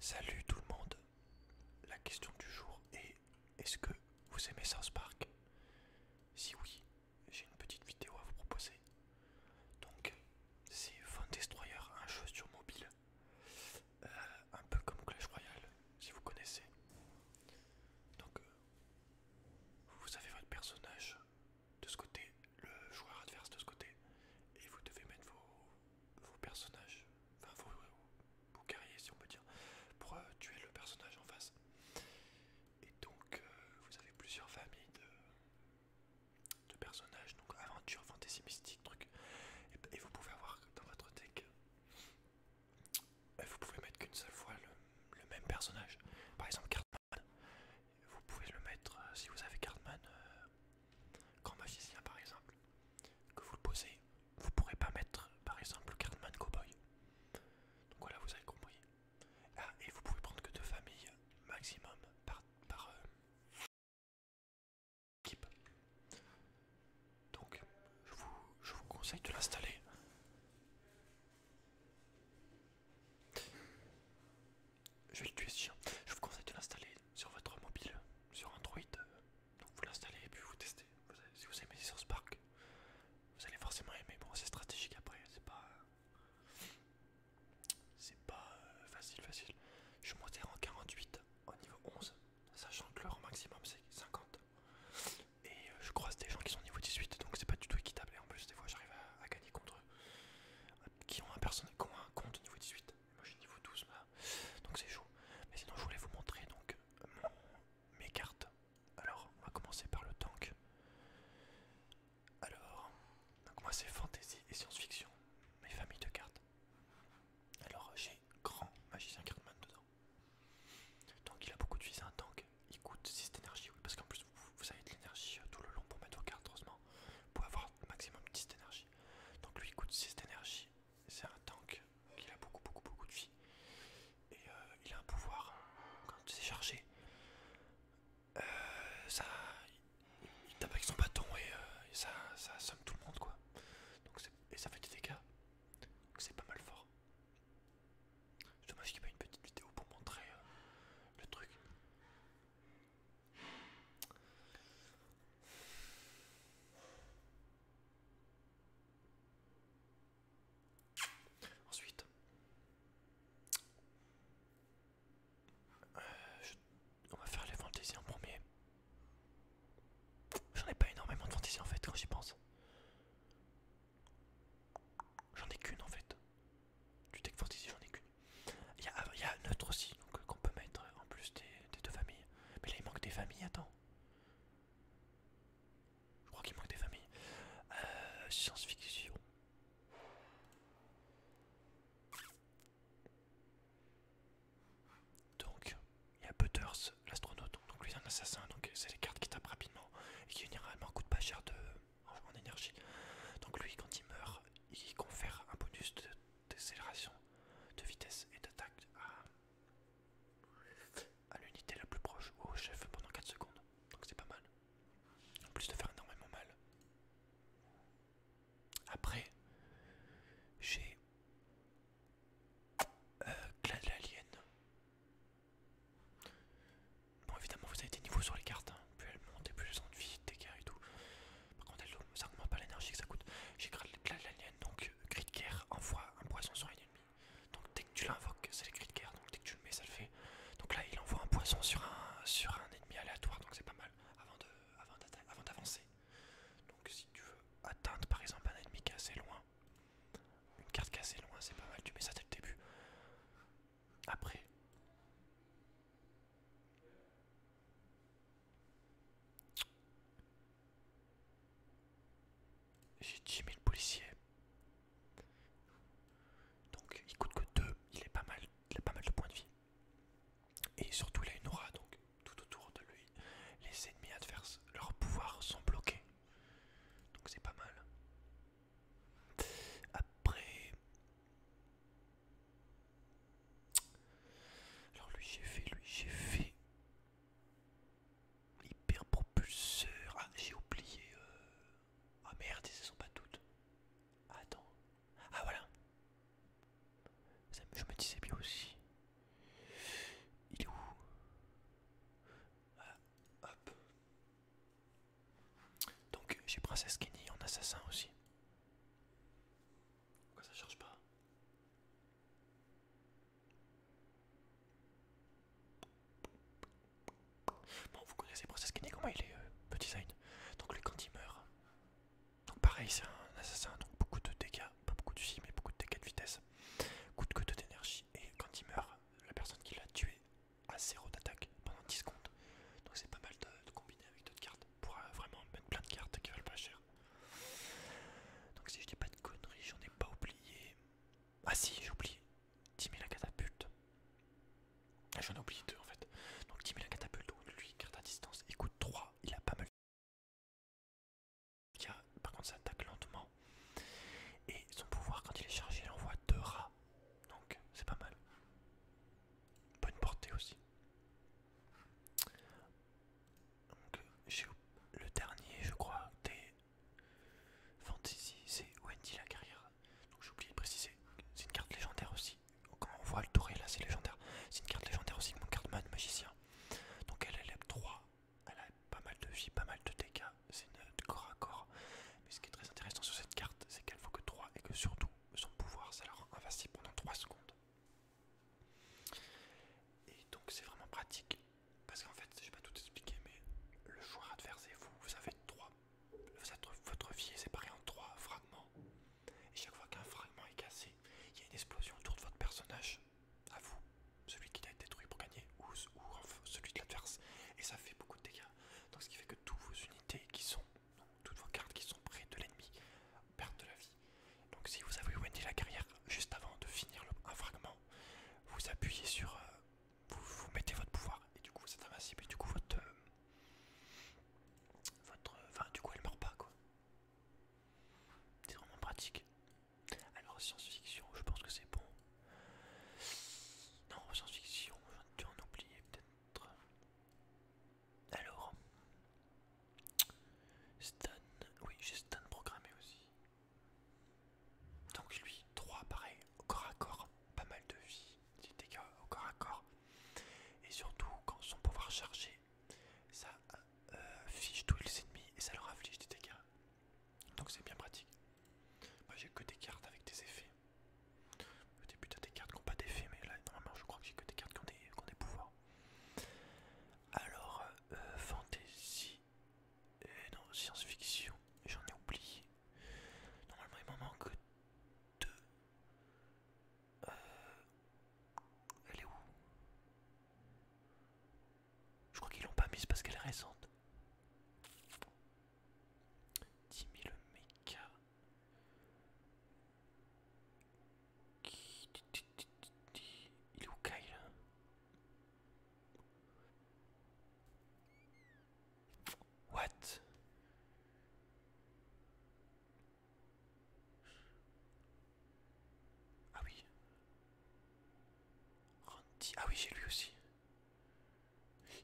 Salut tout le monde. La question du jour est est-ce que vous aimez South Park Si oui, j'ai une petite vidéo à vous proposer. Donc, c'est Fun Destroyer, un jeu sur mobile, euh, un peu comme Clash Royale, si vous connaissez. Donc, euh, vous avez votre personnage de ce côté, le joueur adverse de ce côté, et vous devez mettre vos, vos personnages, enfin vos, si on peut dire, pour euh, tuer le personnage en face. Et donc euh, vous avez plusieurs familles de, personnages, donc aventure, fantaisie, mystique, truc. Et, vous pouvez avoir dans votre deck, euh, vous pouvez mettre qu'une seule fois le, même personnage. Par exemple Cartman, vous pouvez le mettre, si vous avez Cartman, Grand magicien par exemple, que vous le posez, vous pourrez pas mettre par exemple cardman Cowboy. Donc voilà, vous avez compris. Ah, et vous pouvez prendre que deux familles maximum par, euh, équipe. Donc je vous conseille de l'installer je vais le tuer ce chien. Je vous conseille de l'installer sur votre mobile, sur Android. Donc vous l'installez et puis vous testez. Vous si vous aimez sur Spark, vous allez forcément aimer. Bon, c'est stratégique après, c'est pas. C'est pas euh, facile, facile. Je suis en 48 au niveau 11, sachant que leur maximum c'est 50. Et euh, je croise des gens qui sont au niveau 18, donc c'est pas du tout équitable. Et en plus, des fois, j'arrive à, gagner contre eux euh, qui ont un, qui ont un compte au niveau 18. Moi j'ai niveau 12 là, donc c'est chaud. Mais sinon je voulais vous montrer donc mes cartes. Alors on va commencer par le tank. Alors, moi c'est fantasy et science-fiction, mes familles de cartes. Alors j'ai grand magicien Cartman dedans. Donc il a beaucoup de visée un tank, il coûte 6 d'énergie, parce qu'en plus vous, vous avez de l'énergie euh, tout le long pour mettre vos cartes, heureusement, pour avoir maximum 10 d'énergie. Donc lui il coûte 6 d'énergie, c'est un tank qui a beaucoup beaucoup beaucoup de vie. Et euh, il a un pouvoir, quand c'est chargé, euh, ça, il, tape avec son bâton euh, et, ça, ça assomme tout le monde quoi. Donc et ça fait des dégâts, donc c'est pas mal fort. Dommage qu'il n'y ait pas une petite vidéo pour montrer le truc. Ensuite, euh, on va faire les fantaisies en premier. J'en ai pas énormément de fantaisies en fait quand j'y pense. J'en ai qu'une en fait du deck ici j'en ai qu'une. Il y a, ah, neutre aussi, donc euh, qu'on peut mettre en plus des, deux familles. Mais là il manque des familles, attends. Je crois qu'il manque des familles. Euh, science-fiction. Donc, il y a Butters, l'astronaute. Donc lui c'est un assassin, donc c'est les cartes qui tapent rapidement et qui généralement coûtent pas cher de, en énergie. Donc lui quand il meurt, il confère un bonus d'accélération, de, de vitesse et d'attaque à, l'unité la plus proche au chef pendant 4 secondes. Donc c'est pas mal. En plus de faire énormément mal. Après, j'ai euh, de l'Alien. Bon évidemment vous avez des niveaux sur les cartes. Hein plus elle monte et plus je ont de vie, des dégâts et tout. Par contre, elle, ça augmente pas l'énergie que ça coûte. J'ai créé la l'alien, donc Grid euh, guerre envoie un poison sur un ennemi. Donc dès que tu l'invoques, c'est le Grid Guerre, donc dès que tu le mets, ça le fait. Donc là, il envoie un poison sur un, sur un ennemi aléatoire, donc c'est pas mal avant d'avancer. donc si tu veux atteindre par exemple un ennemi qui est assez loin, une carte qui loin, c'est pas mal, tu mets ça dès le début après. J'ai 10 000 policiers. Donc il coûte que 2, il est pas mal, il a pas mal de points de vie. Et surtout il a une aura, donc tout autour de lui, les ennemis adverses, leurs pouvoirs sont bloqués. Donc c'est pas mal. Après, alors lui j'ai fait, lui j'ai fait. Hyper propulseur. Ah j'ai oublié. Euh. Ah merde, ce sont pas toutes. Attends. Ah voilà. je me disais bien aussi. Il est où ah, Hop. Donc j'ai Princesse Kenny en assassin aussi. Pourquoi ça charge pas Bon, vous connaissez Princess Kenny, comment il est, euh, petit design. Donc, lui, quand il meurt, donc pareil, c'est un assassin, donc beaucoup de dégâts, pas beaucoup de vie, mais beaucoup de dégâts de vitesse, coup de couteau d'énergie. Et quand il meurt, la personne qui l'a tué à 0 d'attaque pendant 10 secondes. Donc c'est pas mal de, combiner avec d'autres cartes pour euh, vraiment mettre plein de cartes qui valent pas cher. Donc si je dis pas de conneries, j'en ai pas oublié. Ah si, j'ai oublié. 10 000 la catapulte. Ah, j'en ai oublié deux en fait. Donc 10 000 la catapulte, lui, carte à distance, il coûte 3. Il a pas mal. Il a, par contre, ça attaque lentement. Et son pouvoir, quand il est chargé, il envoie deux rats. Donc c'est pas mal. Bonne portée aussi. Donc, j'ai le dernier, je crois, des Fantasy, c'est Wendy la carrière. Donc, j'ai oublié de préciser, c'est une carte légendaire aussi. on voit le touré, là, c'est légendaire. C'est une carte légendaire aussi mon cardman magicien. Donc, elle a 3. Elle a pas mal de vie, pas mal de dégâts. C'est une corps à corps. Mais ce qui est très intéressant sur cette carte, c'est qu'elle faut que 3 et que surtout son pouvoir, s'est alors invassible pendant 3 secondes. Et donc c'est vraiment pratique, parce qu'en fait, je vais pas tout expliquer, mais le joueur adverse et vous, vous avez trois, votre vie est séparée en trois fragments. Et chaque fois qu'un fragment est cassé, il y a une explosion autour de votre personnage, à vous, celui qui l'a détruit pour gagner, ou, ou celui de l'adverse, et ça fait beaucoup de dégâts. Donc ce qui fait que toutes vos unités qui sont toutes vos cartes qui sont près de l'ennemi perdent de la vie. Donc si vous avez Wendy la carrière juste avant de finir un fragment, vous appuyez sur... Euh, vous, mettez votre pouvoir et du coup vous êtes invincible et du coup votre... Euh, votre... Euh, enfin du coup elle meurt pas quoi. C'est vraiment pratique. Alors science-fiction, je pense que c'est bon. Non, science-fiction, j'en en oublier peut-être alors, stun, oui, j'ai stun programmé aussi. Donc, lui, 3 pareil, au corps à corps, pas mal de vie, des dégâts au corps à corps. Et surtout, quand son pouvoir chargé, ça euh, fiche tous les ennemis et ça leur inflige des dégâts. Donc, c'est bien pratique. Moi, j'ai que des cartes avec des effets. Au début t'as des cartes qui n'ont pas d'effet mais là normalement je crois que j'ai que des cartes qui ont des, pouvoirs. Alors euh, fantasy et euh, non science-fiction j'en ai oublié. Normalement il m'en manque deux. Euh, elle est où Je crois qu'ils l'ont pas mise parce qu'elle est récente. Timmy mille Il est Kyle hein What Ah oui. Ah oui, j'ai lui aussi.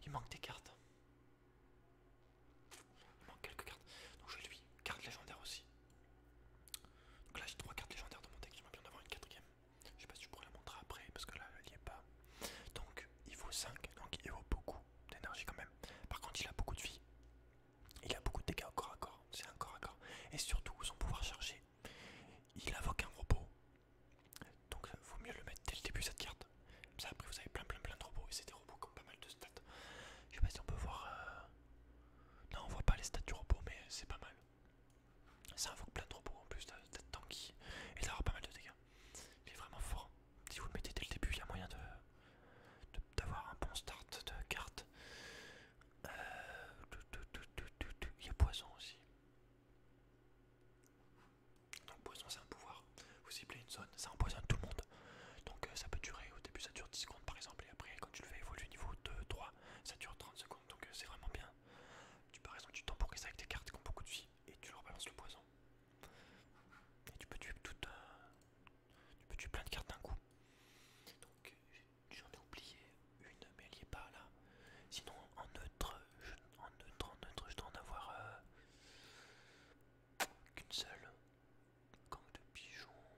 Il manque des cartes. Il manque quelques cartes. Donc je lui. Carte légendaire aussi. Donc là j'ai trois cartes légendaires de mon deck, je bien d'avoir avoir une quatrième. Je sais pas si je pourrais la montrer après parce que là elle n'y est pas. Donc il vaut 5, donc il vaut beaucoup d'énergie quand même. Par contre il a beaucoup de vie. Il a beaucoup de dégâts au corps à corps, c'est un corps à corps. Et surtout son pouvoir chargé. Il invoque un robot donc euh, vaut mieux le mettre dès le début cette carte. Comme ça après vous avez plein plein plein de robots et c'est des robots qui ont pas mal de stats. Je sais pas si on peut voir... Euh, non on voit pas les stats du robot mais c'est pas mal. Ça invoque plein de robots en plus d'être tanky et ça aura pas mal de dégâts. Il est vraiment fort. Si vous le mettez dès le début il y a moyen de d'avoir un bon start de carte. Euh, il y a poison aussi. Donc poison c'est un pouvoir. Vous ciblez une zone, ça empoisonne tout le monde. Donc euh, ça peut durer, au début ça dure 10 secondes par exemple, et après quand tu le fais évoluer niveau 2, 3, ça dure 30 secondes, donc euh, c'est vraiment bien. Tu par exemple tu ça avec des cartes qui ont beaucoup de vie et tu leur balances le poison. Et tu peux tuer Tu plein de cartes d'un coup. Donc j'en ai oublié une mais elle y est pas là. Sinon en neutre, je, en neutre, dois en avoir euh, qu'une seule gang de pigeons.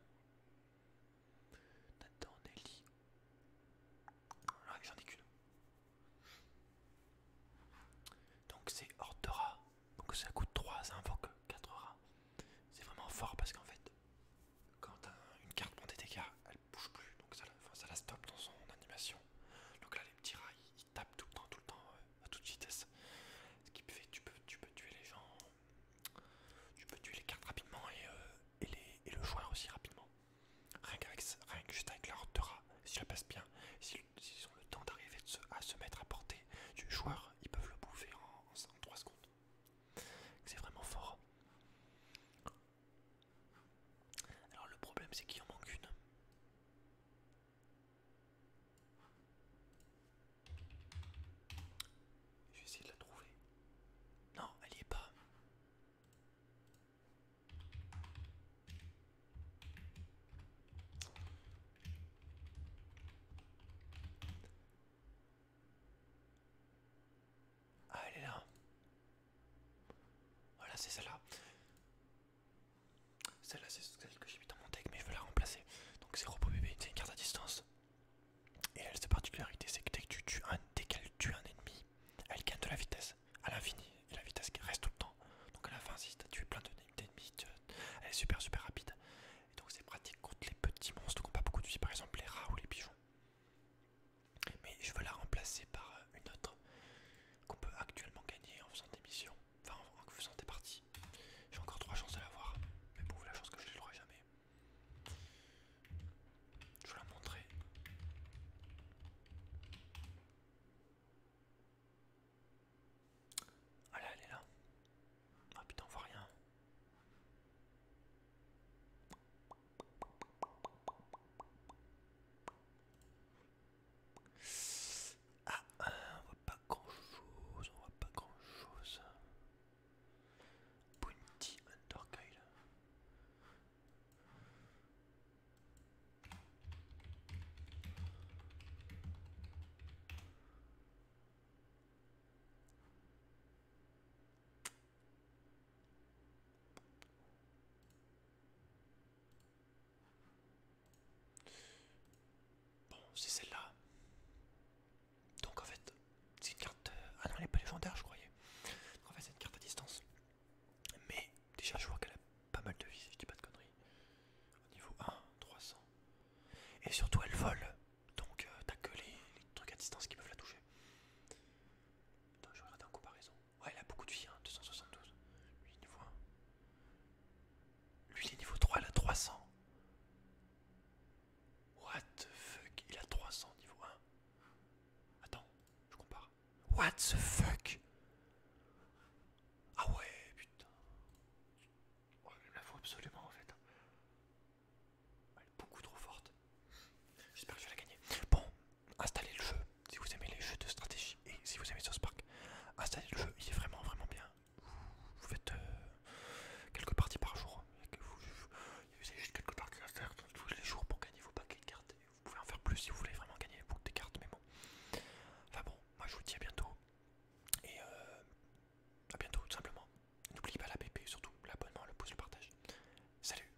Nathan, j'en ai qu'une. Donc c'est hors de rats. Donc ça coûte 3, ça invoque 4 rats. C'est vraiment fort parce qu'en fait, quand une carte prend des dégâts, elle bouge plus. Donc ça, la stoppe dans son animation. Donc là, les petits rails il tape tout le temps, tout le temps, euh, à toute vitesse. Ce qui fait que tu peux, tu peux tuer les gens, tu peux tuer les cartes rapidement et, euh, et, le joueur aussi rapidement. Rien, que juste avec la si ça passe bien, s'ils ont le temps d'arriver à se mettre à portée du joueur, ils peuvent le bouffer en 3 secondes. C'est vraiment fort. Alors le problème c'est qu'il en manque une. Je vais essayer de la trouver. Non, elle n'y est pas. Ah, elle est là. Voilà, c'est celle-là. Celle-là, c'est celle que j'ai mis dans mon deck, mais je veux la remplacer. Donc c'est Robo bb c'est une carte à distance. Et elle, sa particularité, c'est que dès, qu'elle tue un ennemi, elle gagne de la vitesse à l'infini. Et la vitesse reste tout le temps. Donc à la fin, si tu as tué plein d'ennemis, elle est super super rapide. Et donc c'est pratique contre les petits monstres qui n'ont pas beaucoup de vie, par exemple les rats ou les pigeons. Mais je veux la remplacer par euh, une autre qu'on peut actuellement gagner en faisant des missions, enfin en faisant des parties. J'ai encore trois chances de l'avoir, mais bon, la chance que je ne l'aurai jamais. Je vais la montrer. Allez, ah là, elle est là. Ah putain, on voit rien. Ah, euh, on voit pas grand chose, on voit pas grand chose. Bounty Undercoil. Bon, c'est celle-là. Donc en fait, c'est une carte... Euh, ah non, elle est pas légendaire, je croyais. Donc en fait, c'est une carte à distance. Mais déjà, je vois qu'elle a pas mal de vie, si je dis pas de conneries. Au niveau 1, 300. Et surtout, elle vole. Donc euh, t'as que les, les trucs à distance qui peuvent la toucher. Attends, je vais regarder en comparaison. Ouais, il a beaucoup de vie, hein, 272. Lui, il est niveau 1. Lui, il est niveau 3, il a 300. What the fuck Il a 300 niveau 1. Attends, je compare. What the fuck Ah ouais, putain. Ouais il me la faut absolument en fait. Hein. Elle est beaucoup trop forte. J'espère que je vais la gagner. Bon, installez le jeu si vous aimez les jeux de stratégie et si vous aimez South spark Installez le jeu, il est vraiment vraiment bien. Vous faites euh, quelques parties par jour. Vous, juste quelques parties à faire tous les jours pour gagner vos paquets de cartes. vous pouvez en faire plus si vous voulez vraiment gagner beaucoup de cartes, mais bon. Enfin bon, moi je vous dis à bientôt. Et euh, à bientôt tout simplement. N'oubliez pas la BP, surtout l'abonnement, le pouce, le partage. Salut